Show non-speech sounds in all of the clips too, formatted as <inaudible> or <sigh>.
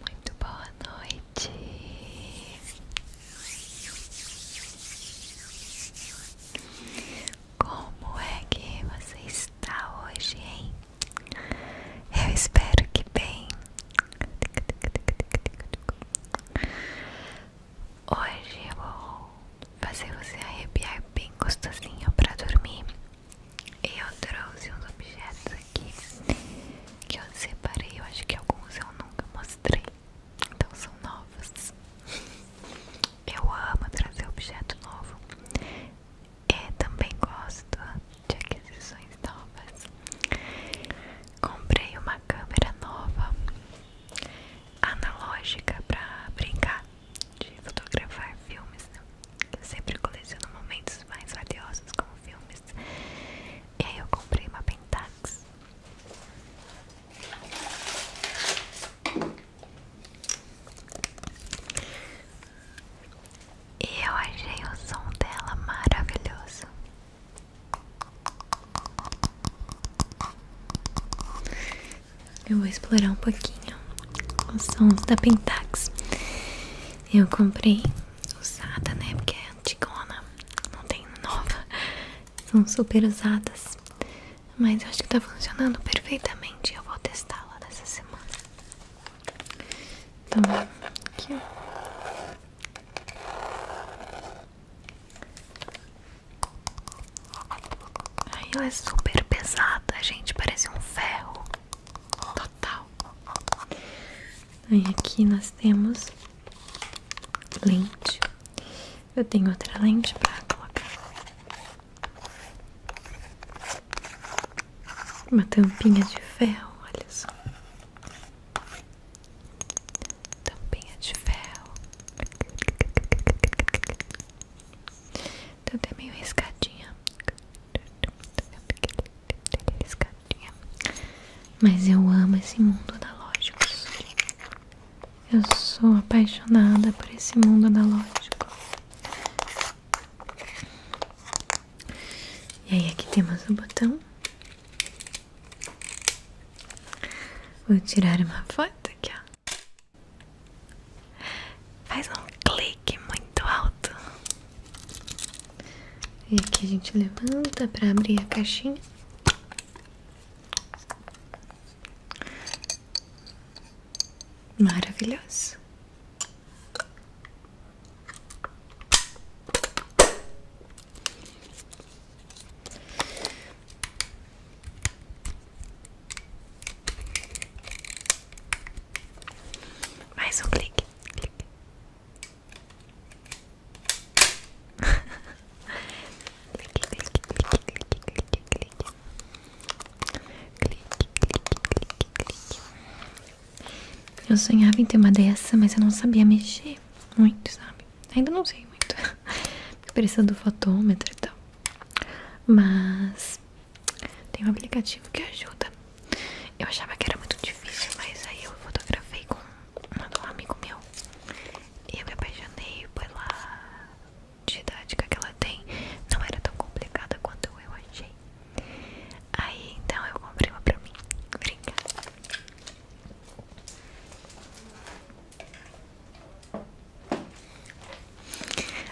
Muito boa noite. Como é que você está hoje, hein? Eu espero que bem. Hoje eu vou fazer você arrepiar bem gostosinho para dormir. Eu trouxe uns objetos aqui que eu separei. Eu acho que alguns eu nunca mostrei. Então são novos. Eu amo trazer objeto novo. E também gosto de aquisições novas. Comprei uma câmera nova analógica para brincar de fotografar filmes. Né? Eu sempre coleciono momentos mais valiosos com filmes. E aí eu comprei uma Pentax. E eu achei o som dela maravilhoso. Eu vou explorar um pouquinho os sons da Pentax. Eu comprei usada, né? Porque é antigona, não tem nova. São super usadas. Mas eu acho que tá funcionando perfeitamente. Eu vou testá-la nessa semana. Então, aqui ó. Ai, ela é super pesada, gente. Parece um ferro total. Aí aqui nós temos lente. Eu tenho outra lente para colocar. Uma tampinha de ferro, olha só. Tampinha de ferro. Então tá tem meio riscadinha. Mas eu amo esse mundo analógico. Eu sou apaixonada por esse mundo analógico. E aí aqui temos o botão. Vou tirar uma foto aqui, ó. Faz um clique muito alto. E aqui a gente levanta para abrir a caixinha. Maravilhoso. Mais um clique. clique. clique, clique, clique, clique, clique, clique. Clique, clique, clique, clique. Eu sonhava em ter uma dessa, mas eu não sabia mexer muito, sabe? Ainda não sei muito. <laughs> Porque precisa do fotômetro e tal. Mas tem um aplicativo que ajuda. Eu achava que era muito difícil, mas aí eu fotografei com um amigo meu e eu me apaixonei pela didática que ela tem. Não era tão complicada quanto eu achei. Aí então eu comprei uma pra mim. Obrigada.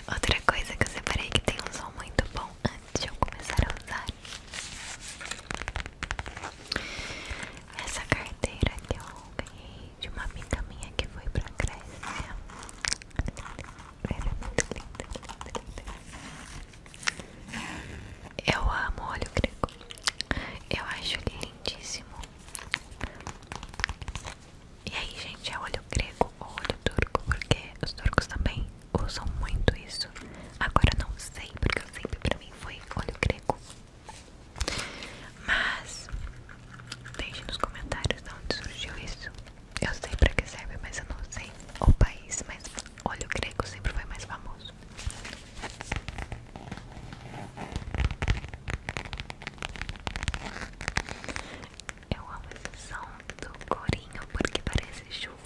Outra coisa que eu separei que tem um som muito bom antes de eu começar a usar essa carteira que eu ganhei de uma amiga minha que foi pra Grécia. Ela é muito linda, Eu amo olha o grego. Eu acho lindíssimo. E aí, gente, é olho grego ou olho turco, porque os turcos também usam muito isso. Agora não sei, porque sempre pra mim foi olho grego. Mas deixe nos comentários de onde surgiu isso. Eu sei pra que serve, mas eu não sei o país, mas olho grego sempre foi mais famoso. Eu amo esse som do corinho porque parece chuva.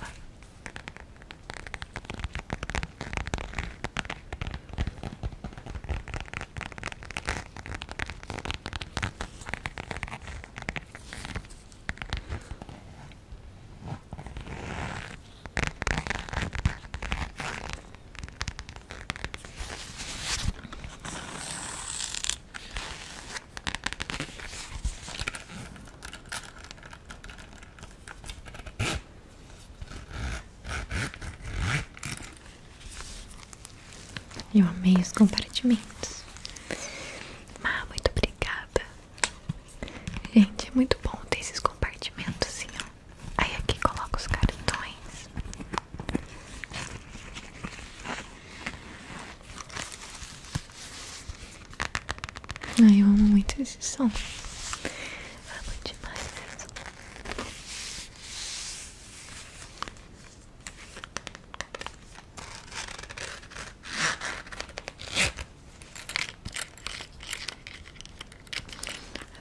Eu amei os compartimentos. Ah, muito obrigada. Gente, é muito bom ter esses compartimentos, assim, ó. Aí aqui coloca os cartões. Ai, eu amo muito esse som. Amo demais mesmo.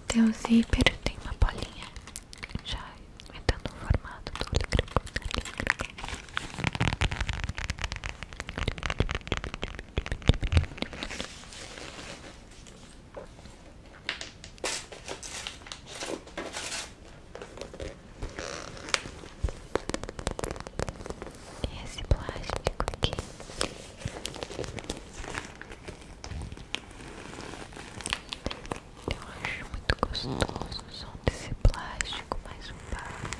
Até o zíper tem uma bolinha. Já vai dando o formato do oligrico esse plástico aqui eu acho muito gostoso o som desse plástico mais um vácuo.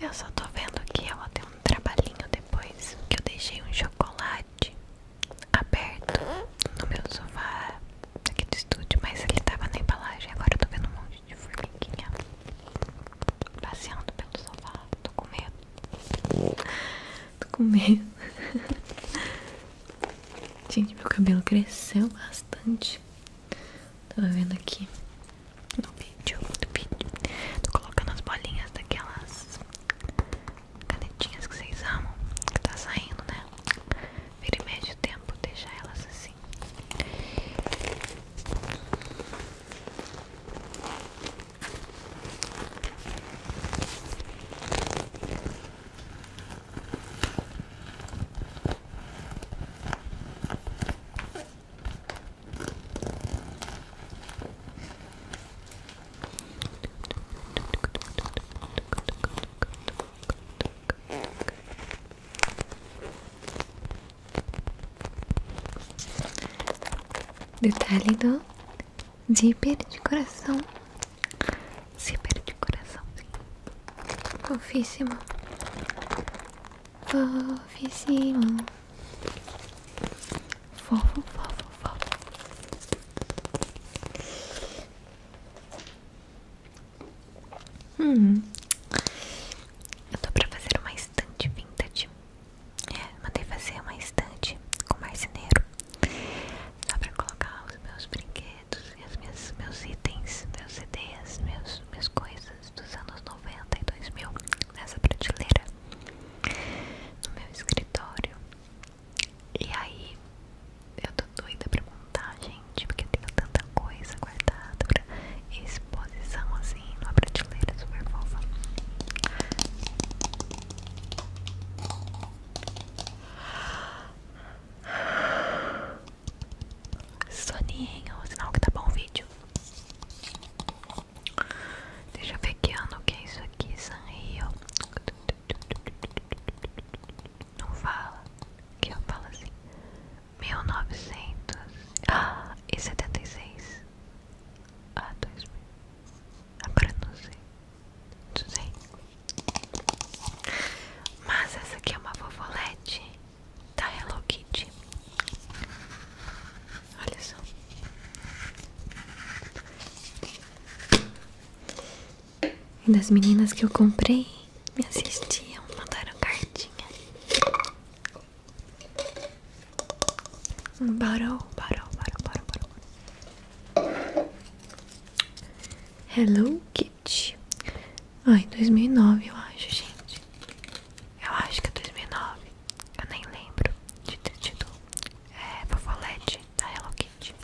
Eu só tô vendo que eu vou um trabalhinho depois que eu deixei um chocolate aberto no meu sofá aqui do estúdio, mas ele tava na embalagem. Agora eu tô vendo um monte de formiguinha passeando pelo sofá. Tô com medo. Tô com medo. <laughs> Gente, meu cabelo cresceu bastante. Tava vendo aqui no vídeo, no vídeo. Tô colocando as bolinhas daquelas canetinhas que vocês amam, que tá saindo, né? Vira e mexe o tempo, deixa elas assim. Vou Detalhe do zíper de coração. Zíper de coração, Fofíssimo. Fofíssimo. Fofo, fofo, fofo. Hum. Eu tô pra fazer uma estante vintage. É, mandei fazer uma estante com marceneiro. Só pra colocar os meus brinquedos segredos e meus itens, meus CDs, minhas coisas dos anos 90 e 2000 nessa prateleira no meu escritório. E aí eu tô doida pra montar, gente, porque eu tenho tanta coisa guardada pra exposição assim numa prateleira super fofa. Soninho, é sinal que tá bom o vídeo. Deixa eu ver que ano que é isso aqui, soninho Não fala. Que eu falo assim. 1900 ah, e 76. Ah, 2000. Agora não sei. Não sei. Mas essa aqui é uma vovolete da Hello Kitty. Olha só. E das meninas que eu comprei me assistiam, mandaram cartinha. Barou, barou, barou, barou, barou. Hello Kitty. Ai, 2009 eu acho, gente. Eu acho que é 2009. Eu nem lembro de ter tido é, Fofolete da Hello Kitty.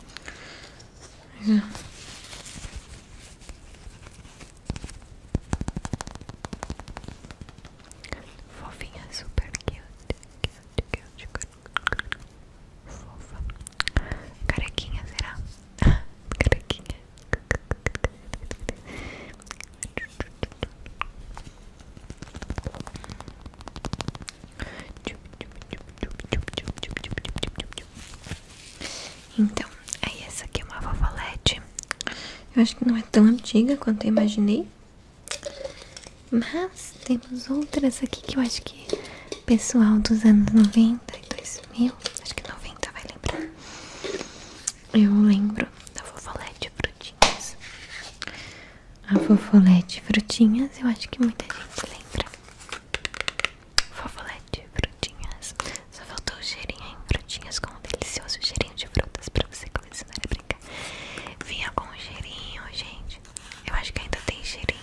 Mas, hum. Fofinha, super cute, cute, cute, cute fofa. Carequinha, será? <laughs> Carequinha. Então, aí é essa aqui é uma vovolete. Eu acho que não é tão antiga quanto eu imaginei. Mas temos outras aqui que eu acho que pessoal dos anos 90 e 2000 acho que 90 vai lembrar. Eu lembro da fofolete frutinhas. A fofolete frutinhas, eu acho que muita gente lembra. Fofolete frutinhas. Só faltou o cheirinho em frutinhas com um delicioso cheirinho de frutas pra você colecionar a brincar. Vinha com um cheirinho, gente. Eu acho que ainda tem cheirinho.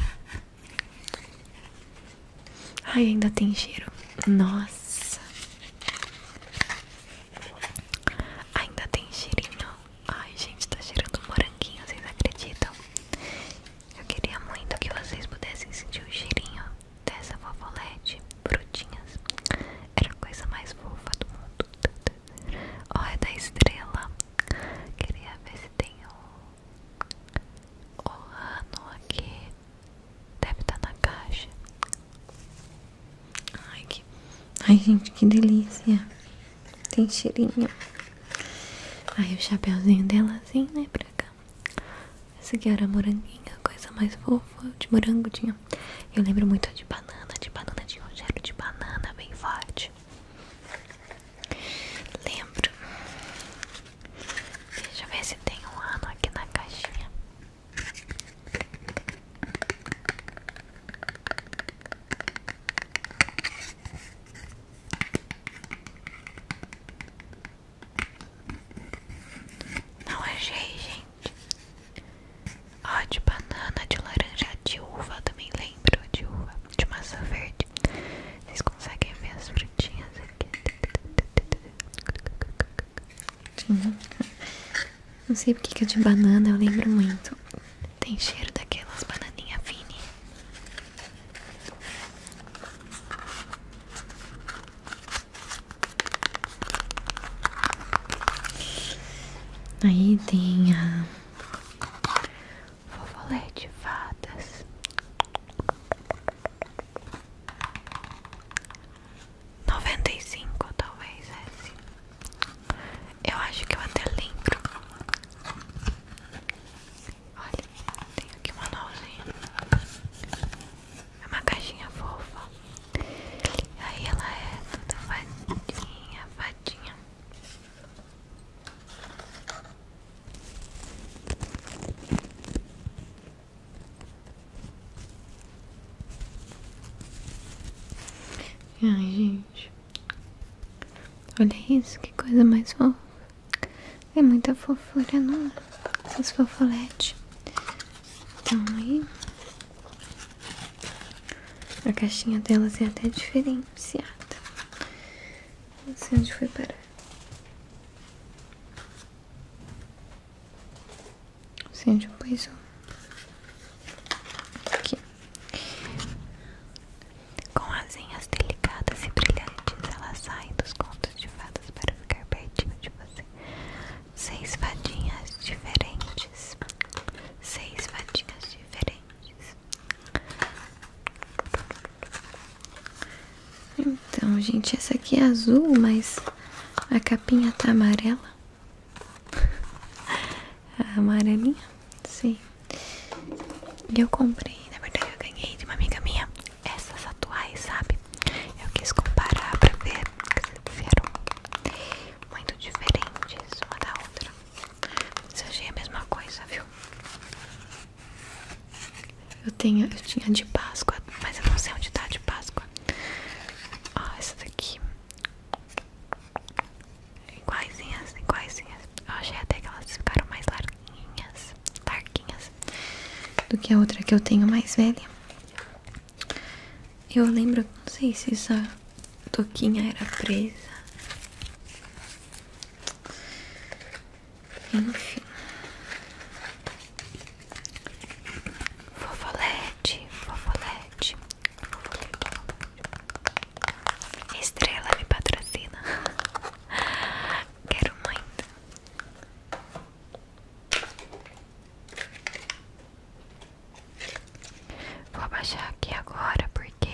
Ai, ainda tem cheiro. Nossa. Ainda tem cheirinho. Ai, gente, tá cheirando moranguinho, vocês acreditam? Eu queria muito que vocês pudessem sentir o cheirinho dessa vovolete, brutinhas. Era a coisa mais fofa do mundo. olha é da estrela. Queria ver se tem o o ano aqui deve estar tá na caixa. Ai, que... Ai, gente, que delícia. Tem cheirinho. Aí o chapeuzinho dela assim, né, pra cá. Essa aqui era moranguinha, coisa mais fofa, de morango tinha. Eu lembro muito de banana, de banana, de um de banana bem forte. Lembro. Deixa eu ver se tem um ano aqui na caixinha. Não achei, gente. Ó, de banana, de laranja, de uva, também lembro de uva, de massa verde. Vocês conseguem ver as frutinhas aqui? Uhum. Não sei porque que é de banana, eu lembro muito. Tem cheiro daquelas bananinhas fini. Aí tem a Fofolé de fadas. Noventa e cinco, talvez esse. É assim. Eu acho que eu até lembro. Olha, tem aqui uma nozinha. É uma caixinha fofa. Aí ela é toda fadinha, fadinha. Ai, gente. Olha isso, que coisa mais fofa. É muita fofura, não os é? Essas fofoletes. Então aí. A caixinha delas é até diferenciada. Não sei onde foi parar. Não sei onde pois Aqui. Com asinhas delicadas e brilhantes, ela sai dos contos de fadas para ficar pertinho de você. Seis fadinhas diferentes. Seis fadinhas diferentes. Então, gente, essa aqui é azul, mas a capinha tá amarela. <laughs> A amarelinha, sim. eu comprei, na verdade eu ganhei de uma amiga minha essas atuais, sabe? Eu quis comparar pra ver se eram muito diferentes uma da outra. Mas achei a mesma coisa, viu? Eu, tenho, eu tinha de Páscoa, mas eu não sei onde tá de Páscoa. Ó, essa daqui. igualzinhas, igualzinhas. Eu achei até que elas ficaram mais larguinhas, larguinhas do que a outra que eu tenho mais velha. Eu lembro, não sei se essa toquinha era presa. Enfim. Fofolete, fofolete, fofolete. Estrela me patrocina. <laughs> Quero muito. Vou baixar aqui agora porque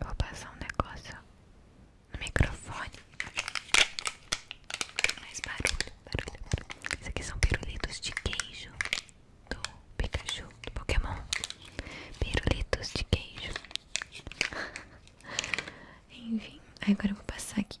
vou passar um negócio no microfone. Mais barulho, barulho, barulho. Isso aqui são pirulitos de queijo do Pikachu, do Pokémon. Pirulitos de queijo. <laughs> Enfim, agora eu vou passar aqui.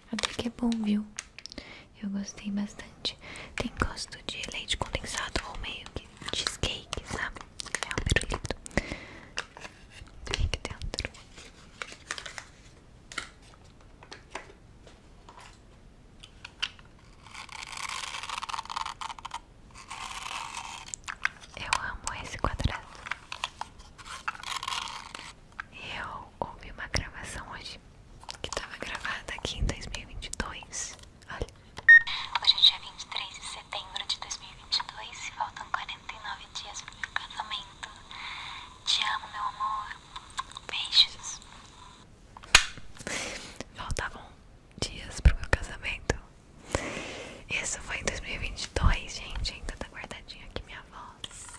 Até que é bom, viu? Eu gostei bastante. Tem gosto de leite condensado ou meio que cheesecake, sabe? É um pirulito. Tem dentro. Eu amo esse quadrado. Eu ouvi uma gravação hoje que estava gravada aqui em 2022. Olha. Hoje é dia 23 de setembro de 2022 e faltam 49 dias pro meu casamento. Te amo, meu amor. Beijos. Faltavam dias pro meu casamento. Isso foi em 2022, gente. Ainda tá guardadinho aqui minha voz.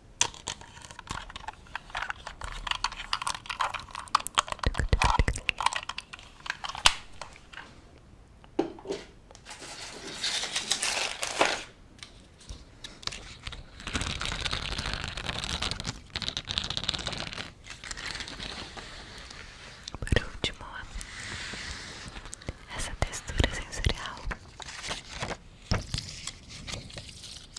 Por último, essa textura sensorial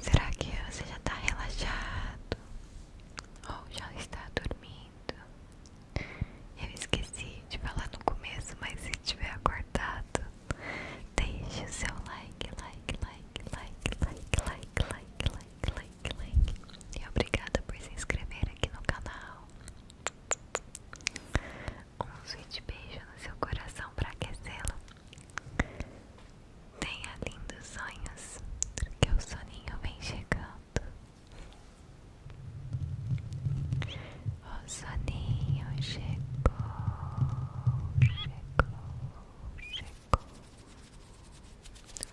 Será que você já está relaxado ou já está dormindo? Eu esqueci de falar no começo, mas se tiver acordado, deixe o seu like, like, like, like, like, like, like, like, like, like, like. E obrigada por se inscrever aqui no canal. Um sweet beijo no seu coração para aquecê-lo. Tenha lindos sonhos, que o soninho vem chegando. O soninho chegou, chegou, chegou.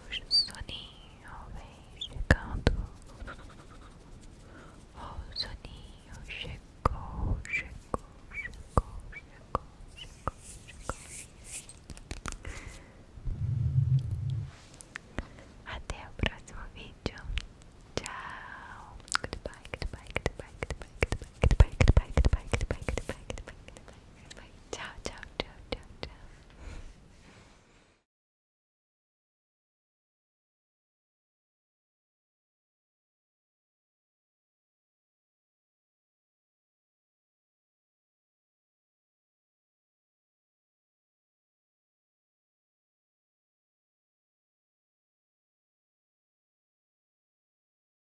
Hoje o soninho vem chegando O soninho chegou, chegou, chegou, chegou, chegou, chegou Até o próximo vídeo Tchau Goodbye, goodbye, goodbye, goodbye, goodbye, goodbye, goodbye, goodbye, goodbye, goodbye, goodbye, goodbye. Bye. Ciao, ciao, ciao, ciao,